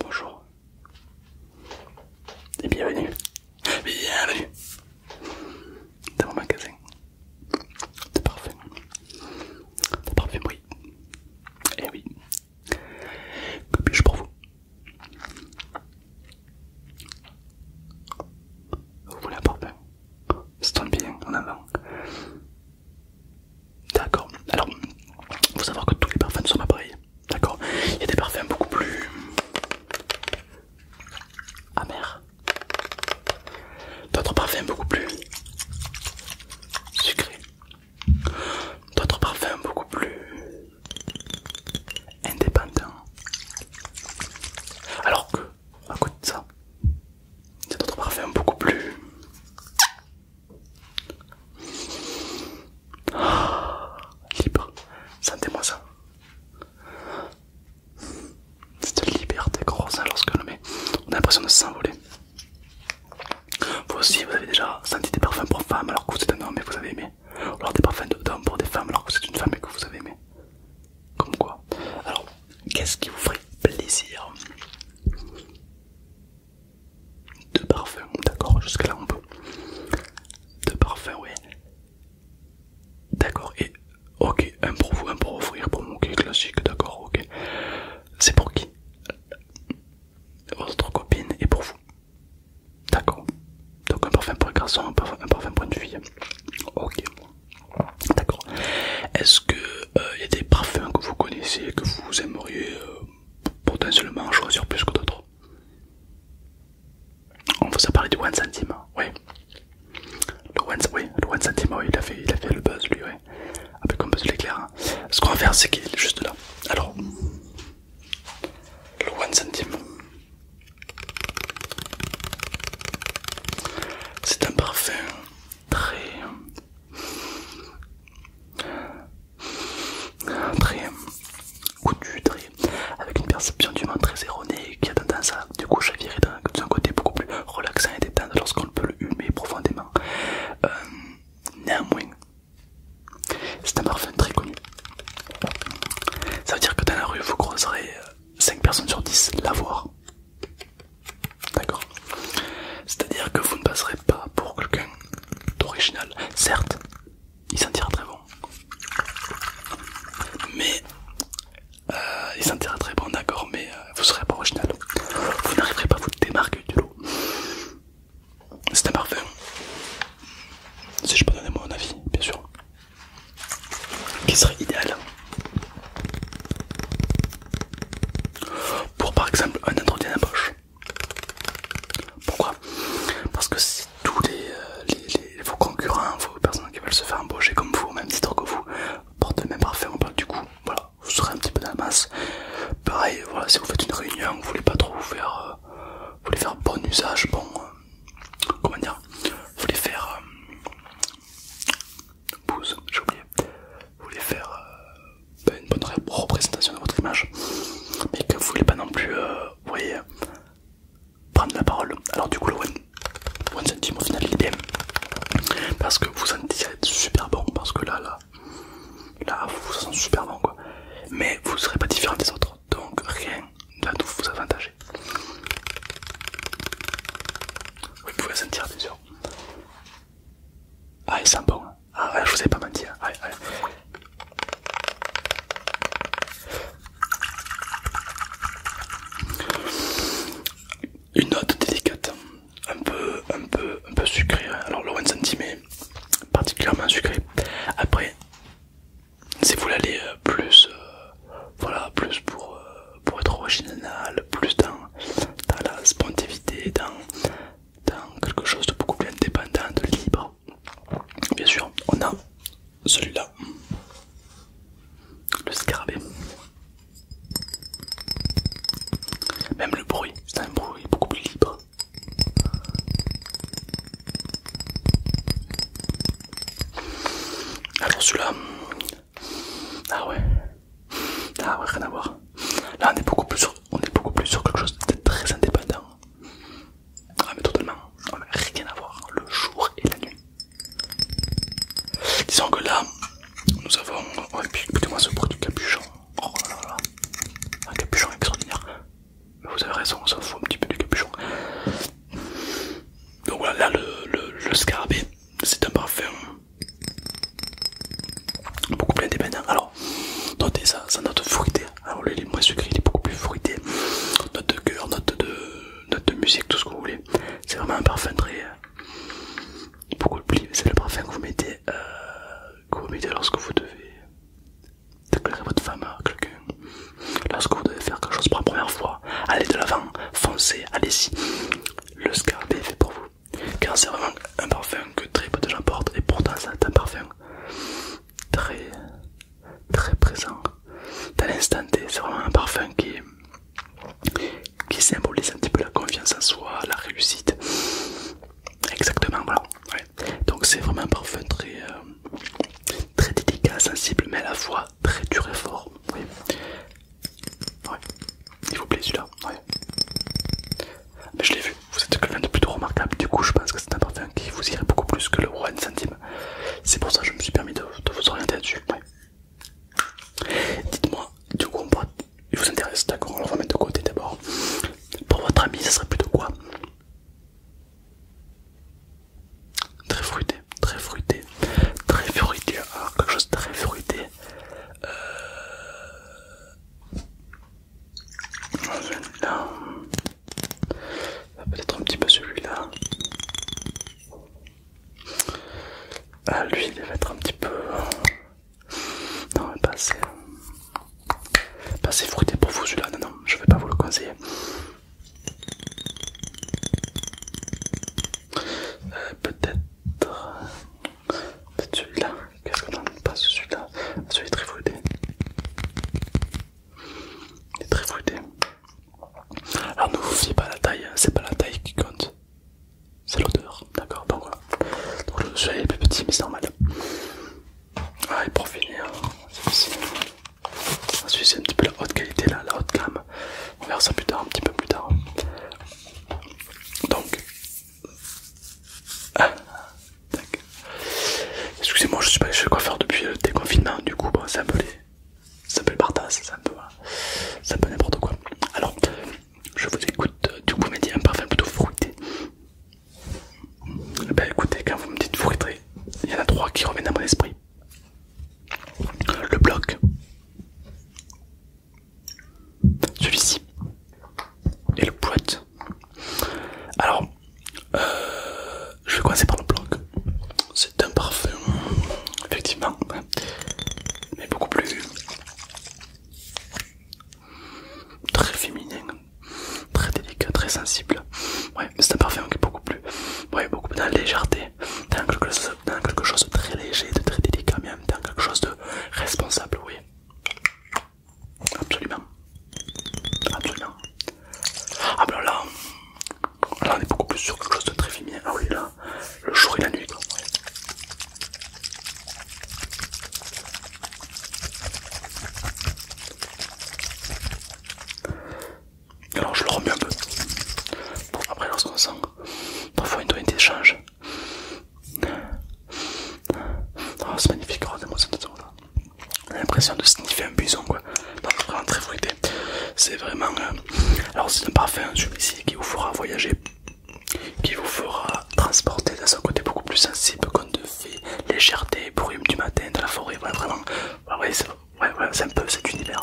Bonjour et bienvenue, bienvenue dans mon magasin de parfum, de parfumerie. Et eh oui, que puis-je pour vous Vous voulez un parfum Stone bien en avant. D'accord. Alors, vous savoir que tous les parfums sont pas pareils. D'accord. Il y a des parfums beaucoup plus amers. D'autres parfums beaucoup plus sucrés. D'autres parfums beaucoup plus indépendants. Alors que, à côté de ça, il y a d'autres parfums beaucoup plus libre, sentez-moi ça. Cette liberté qu'on ressent hein, on a l'impression de s'envoler. Vous aussi, vous avez déjà senti des parfums pour femmes alors que vous êtes un homme et vous avez aimé, ou alors des parfums d'hommes pour des femmes alors que vous êtes une femme et que vous avez aimé. Comme quoi. Alors, qu'est-ce qui vous ferait plaisir deux parfums, d'accord, jusqu'à là on peut. Deux parfums, oui D'accord, et ok, un pour vous, un pour offrir, pour mon ok, classique, d'accord, ok. C'est pour qui Votre copine et pour vous. D'accord. Donc un parfum pour un garçon, un parfum, pour une fille. Ok. D'accord. Est-ce que il euh, y a des parfums que vous connaissez, que vous aimeriez euh, potentiellement je choisir plus que d'autres. On vous a parlé du one centime, oui. Le oui, il a fait, il a fait le buzz lui, oui Avec un buzz l'éclair. Hein. Ce qu'on va faire, c'est qu'il est juste là. Alors, le one centime, c'est un parfum très très coutu, avec une perception du monde très erronée qui a tendance à du coup chavirer d'un côté beaucoup plus relaxant et détendu lorsqu'on peut le humer profondément. Euh, néanmoins, c'est un parfum très connu. Ça veut dire que dans la rue, vous croiserez 5 euh, personnes sur 10 l'avoir. D'accord C'est-à-dire que vous ne passerez pas pour quelqu'un d'original. Certes, il sentira très bon. Mais euh, il sentira très bon, d'accord, mais vous euh, vous serez pas original. Vous n'arriverez pas à vous démarquer du lot. C'est un parfum. Si je peux donner mon avis, bien sûr. Qui serait idéal pour par exemple un entretien poche pourquoi Parce que si tous les, vos euh, concurrents, vos personnes qui veulent se faire embaucher comme vous, même même titre que vous, portent le même parfum, bah, du coup, voilà, vous serez un petit peu dans la masse. Pareil, voilà, si vous faites une réunion, vous voulez pas trop vous faire, euh, vous voulez faire bon usage, bon, euh, comment dire, vous voulez faire euh, j'ai oublié, vous voulez faire une bonne représentation de votre image, mais que vous voulez pas non plus, euh, voyez, prendre la parole. Alors du coup, le one, centime au final, il parce que vous en être super bon, parce que là, là, là, vous vous sentez super bon, quoi. Mais vous serez pas différent des autres, donc rien va nous vous avantager. vous pouvez sentir, bien sûr. Ah, il sent bon. Hein. Ah, je vous ai pas menti. Hein. Une note délicate, un peu, un peu, un peu sucrée. Hein. Alors le 1 cm particulièrement sucré. Après, si vous l'allez euh, plus, euh, voilà, plus euh, pour, être original, plus dans, la spontivité, dans, dans quelque chose de beaucoup plus indépendant, de libre. Bien sûr, on a celui-là, le scarabée. Même le bruit, c'est un bruit beaucoup plus libre. Alors celui-là, ah ouais, ah ouais, rien à voir. Là, on est beaucoup plus sur, on est beaucoup plus sur quelque chose de très indépendant. Ah mais totalement, rien à voir, le jour et la nuit. Disons que là, nous avons... Oh, et puis écoutez-moi ce produit capuchon. Oh un capuchon extraordinaire. Mais vous avez raison, on s'en fout un petit peu du capuchon. Donc voilà, là le scarabée, c'est un parfum Beaucoup plus indépendant. Alors, notez ça, ça note fruité. Alors, lui, il moins sucré, il est beaucoup plus fruité. Note de cœur, note de, de musique, tout ce que vous voulez. C'est vraiment un parfum très. Euh, beaucoup de plus. C'est le parfum que vous mettez, euh, que vous mettez lorsque vous devez déclarer votre femme à quelqu'un. Lorsque vous devez faire quelque chose pour la première fois, allez de l'avant, foncez, allez-y. Le scarabée est fait pour vous car c'est vraiment un parfum que très peu de gens portent et pourtant c'est un parfum très très présent dans l'instant T. C'est vraiment un parfum qui, qui symbolise un petit peu la confiance en soi, la réussite. Exactement, voilà. Donc c'est vraiment un parfum très, euh, très délicat, sensible, mais à la fois très dur et fort. Il vous plaît celui-là mais je l'ai vu, vous êtes quelqu'un de plutôt remarquable, du coup je pense que c'est un parfum qui vous irait beaucoup plus que le roi centime. C'est pour ça que je me suis permis de, vous orienter là dessus. Dites-moi, du coup, on peut... il vous intéresse, d'accord, on le remet de côté d'abord. Pour votre ami, ça serait plutôt quoi Très fruité, très fruité, très fruité, hein, quelque chose de très fruité. Euh... Ah, peut-être un petit peu celui-là. Ah, lui, il va être un petit peu. Euh, non, pas assez. Pas fruité pour vous, celui-là. Non, non, je vais pas vous le conseiller. Euh, peut-être celui-là. Qu'est-ce qu'on pas pas celui-là ah, Celui est très fruité. Il est très fruité. Alors ne vous fiez pas la taille, hein. c'est pas la taille qui compte. C'est l'odeur, d'accord Donc voilà. celui-là est plus petit mais c'est normal. Ah et pour finir, celui-ci. Celui c'est un petit peu la haute qualité là, la haute gamme. On verra ça plus tard, un petit peu plus tard. Donc ah, Excusez-moi, je ne suis pas allé chez le coiffeur depuis le euh, déconfinement, du coup, bah, ça c'est un peu les. C'est un peu le c'est un peu. n'importe quoi. Alors, je vous écoute, du euh, coup, vous m'avez dit un parfum plutôt fruité. Eh ben écoutez, quand vous me dites fruité, il y en a trois qui reviennent à mon esprit euh, le bloc, celui-ci. Et le boîte. Alors, euh, je vais commencer par le bloc. C'est un parfum, effectivement, mais beaucoup plus très féminin, très délicat, très sensible. c'est un parfum qui est beaucoup plus, ouais, beaucoup plus dans la légèreté, dans quelque, chose, quelque chose de très léger, de très délicat, mais en même temps quelque chose de responsable, oui. Absolument. Absolument. Ah ben là, là on est beaucoup plus sur quelque chose de très féminin. Ah oui là, le jour et la nuit. Alors je le remue un peu. Après lorsqu'on sent parfois une tonalité d'échange, ah, c'est magnifique, regardez-moi cette J'ai l'impression de sniffer un buisson quoi. Non, vraiment très fruité. C'est vraiment. Euh, alors, c'est un parfum hein, celui qui vous fera voyager, qui vous fera transporter dans un côté beaucoup plus sensible qu'on ne fait légèreté, brume du matin, de la forêt. vraiment, c'est un peu cet univers.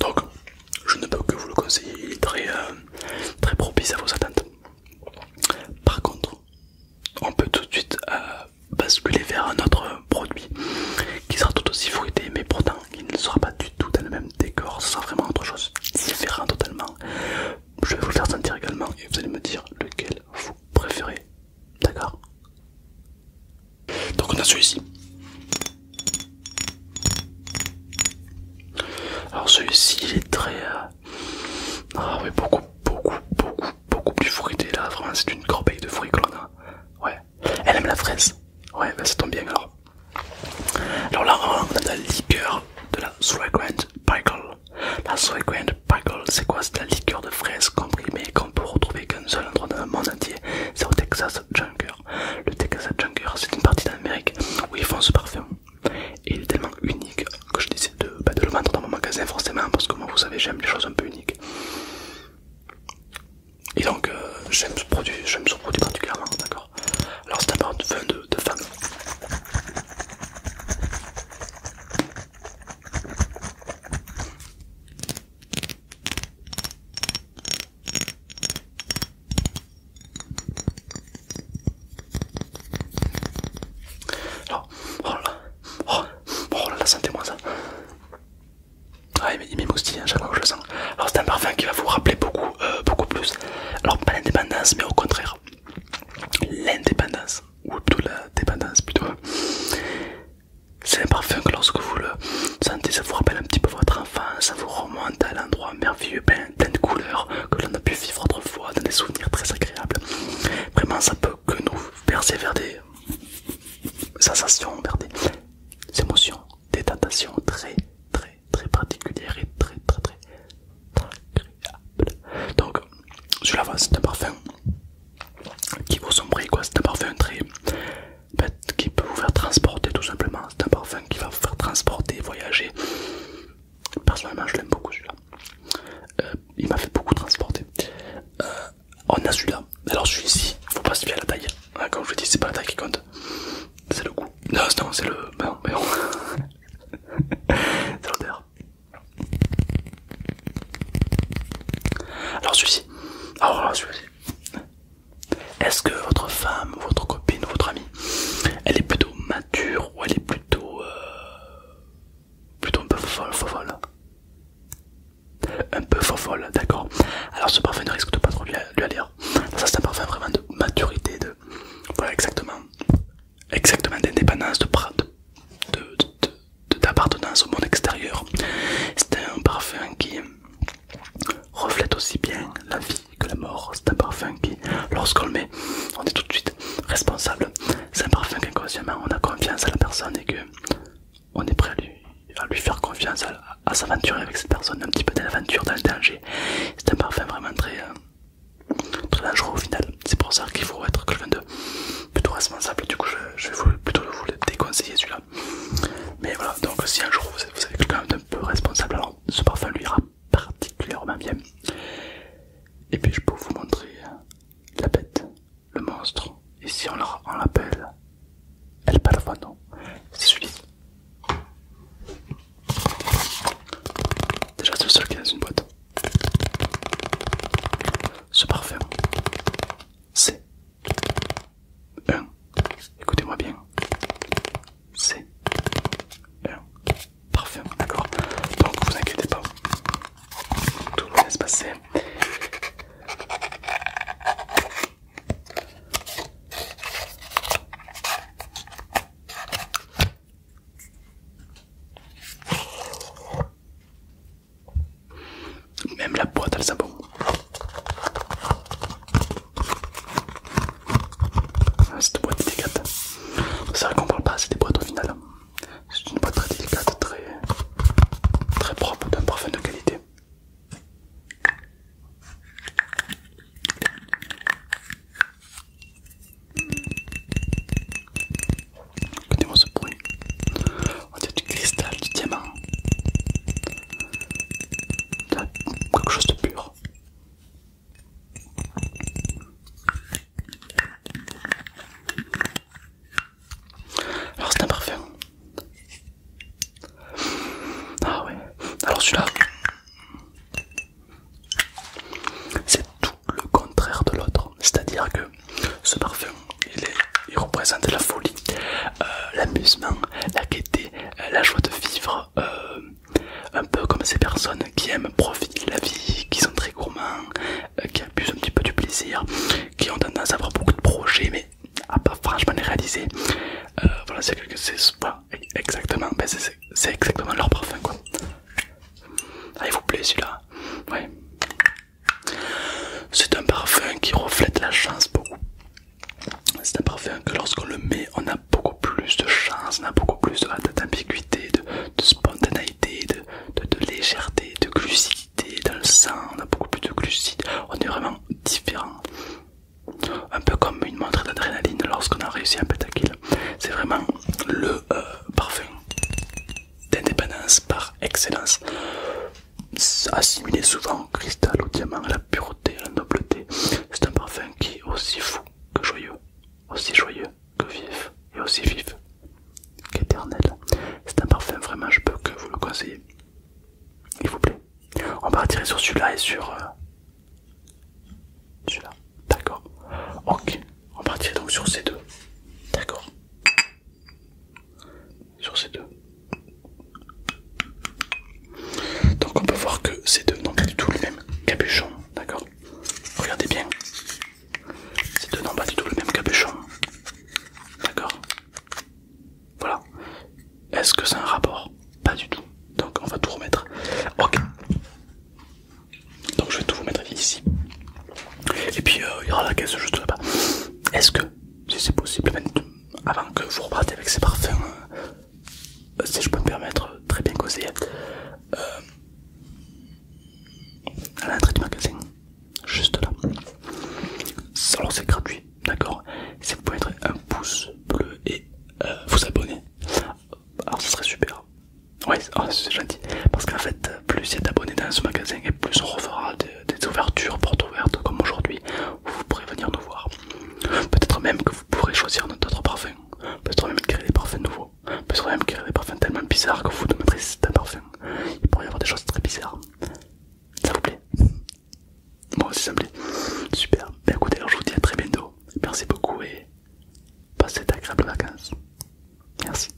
Donc, je ne peux que vous le conseiller, il est très, euh, très propice à vos attentes. Par contre, on peut tout de suite euh, basculer vers un autre produit qui sera tout aussi fruité, mais pourtant il ne sera pas du tout dans le même décor, ce sera vraiment autre chose, différent totalement. Je vais vous le faire sentir également et vous allez me dire lequel vous préférez. D'accord Donc on a celui-ci. Alors celui-ci il est très... Euh, ah oui beaucoup beaucoup beaucoup beaucoup plus fruité là, vraiment c'est une corbeille de fruits que l'on Ouais. Elle aime la fraise. Ouais bah ça tombe bien alors. Alors là on a la liqueur de la sweet Grand Pickle. La sweet Grand Pickle c'est quoi C'est la liqueur de fraise comprimée qu'on peut retrouver qu'un seul endroit dans le monde entier. C'est au Texas Junker. Le Texas Junker c'est une partie d'Amérique où ils font ce parfum et il est tellement unique que je décide bah, de, le vendre dans mon magasin forcément parce que moi vous savez j'aime les choses un peu uniques et donc euh, j'aime ce produit j'aime produit particulièrement d'accord alors c'est un vin de, de femme alors, oh là, oh, oh sentez-moi ça. Ah, il à hein, je le sens. Alors, c'est un parfum qui va vous rappeler beaucoup, euh, beaucoup plus. Alors, pas l'indépendance, mais au contraire, l'indépendance, ou plutôt la dépendance, plutôt. C'est un parfum que lorsque vous le sentez, ça vous rappelle un petit peu votre enfance ça vous remonte à l'endroit merveilleux, ben, de couleurs que l'on a pu vivre autrefois dans des souvenirs très agréables. Vraiment, ça peut que nous verser vers des sensations, vers des émotions, des tentations très, très, très particulières et très, très, très, agréables. Donc, celui-là, c'est un parfum qui vous sombrer, quoi. C'est un parfum très. qui peut vous faire transporter tout simplement. C'est un parfum qui va vous faire transporter, voyager. Personnellement, je l'aime beaucoup celui-là. Euh, il m'a fait beaucoup transporter. Euh, on a celui-là. Alors celui-ci, faut pas se fier à la taille. quand hein. hein, je vous dis, c'est pas la taille qui compte. C'est le goût. Non, c'est le. Ben, c'est l'odeur. Alors celui-ci. Alors ah, celui-ci. Est-ce que votre femme, votre copine, votre amie, elle est plutôt ou elle est plutôt euh, plutôt un peu folle, un peu folle, d'accord. Alors ce parfum ne risque de pas trop lui, aller. Hein. Ça c'est un parfum vraiment de maturité, de voilà exactement, exactement d'indépendance, de d'appartenance au monde extérieur. C'est un parfum qui reflète aussi bien la vie que la mort, c'est un parfum qui, lorsqu'on le met, on est tout de suite responsable. C'est un parfum qu'inconsciemment on a confiance à la personne et que on est prêt à lui, faire confiance, à, s'aventurer avec cette personne, un petit peu dans l'aventure, dans le danger. C'est un parfum vraiment très, euh, très dangereux au final. C'est pour ça qu'il faut être quelqu'un de plutôt responsable. Du coup, je, vais plutôt vous le déconseiller celui-là. Mais voilà, donc si un jour vous, vous avez quelqu'un un peu responsable, alors ce parfum lui ira particulièrement bien. Et puis je peux vous montrer la bête, le monstre. Ici on l'appelle El Non, C'est celui-ci. Déjà c'est le seul qui est une boîte. Ce parfum, c'est un, écoutez-moi bien, c'est parfait, d'accord Donc vous inquiétez pas, tout va monde se passer. Même la boîte, elle sent ah, Cette boîte délicate. C'est vrai qu'on parle pas assez des boîtes au final. C'est une boîte très délicate, très, très propre, d'un parfum de qualité. Écoutez-moi ce bruit. On dirait du cristal, du diamant. Quelque chose de pur. Alors c'est un parfum. Ah ouais. Alors celui-là, c'est tout le contraire de l'autre. C'est-à-dire que ce parfum, il, représente la folie, euh, l'amusement, la gaieté, euh, la joie de vivre, euh, un peu comme ces personnes qui aiment profiter de la vie, qui sont très gourmands, euh, qui abusent un petit peu du plaisir, qui ont tendance à avoir beaucoup de projets mais à pas franchement les réaliser. Euh, voilà, c'est chose. exactement, ben, c'est exactement leur parfum quoi. il vous plaît celui-là C'est un parfum qui reflète la chance beaucoup. C'est un parfum que lorsqu'on le met, on a a beaucoup plus de chance, on a beaucoup plus d'ambiguïté, de, spontanéité, de, légèreté, de glucidité dans le sang, on a beaucoup plus de glucides, on est vraiment différent. Un peu comme une montre d'adrénaline lorsqu'on a réussi un pétaquil. C'est vraiment le euh, parfum d'indépendance par excellence. Assimilé souvent au cristal, au diamant, à la pureté, à la nobleté. C'est un parfum qui est aussi fou que joyeux aussi joyeux que vif et aussi vif qu'éternel. C'est un parfum, vraiment, je peux que vous le conseiller. Il vous plaît. On va partirait sur celui-là et sur euh, celui-là. D'accord. Ok. On partirait donc sur ces deux. D'accord. Sur ces deux. Donc on peut voir que ces deux n'ont pas du tout le même capuchon. D'accord. Regardez bien. Ces deux n'ont pas du tout le même capuchon. D'accord Voilà. Est-ce que c'est un rapport Pas du tout. Donc on va tout remettre. Ok. Donc je vais tout vous mettre ici. Et puis euh, il y aura la caisse juste là-bas. Est-ce que, si c'est possible, avant que vous repartez avec ces parfums euh, si je peux me permettre, très bien causé. Euh, à l'entrée du magasin, juste là. Alors c'est gratuit, d'accord Si vous pouvez mettre un pouce bleu et euh, vous abonner, alors ce serait super. Ouais, oh, c'est gentil. Parce qu'en fait, plus il y a d'abonnés dans ce magasin et plus on refera des, des ouvertures, portes ouvertes comme aujourd'hui, où vous pourrez venir nous voir. Peut-être même que vous pourrez choisir notre autre parfum. Peut-être même créer des parfums nouveaux. Peut-être même créer des parfums tellement bizarres que vous ne mettrez d'un parfum. Il pourrait y avoir des choses très bizarres. Ça vous plaît Moi aussi ça me plaît. Super. Ben écoutez, alors je vous dis à très bientôt. Merci beaucoup et passez d'agréables vacances. Merci.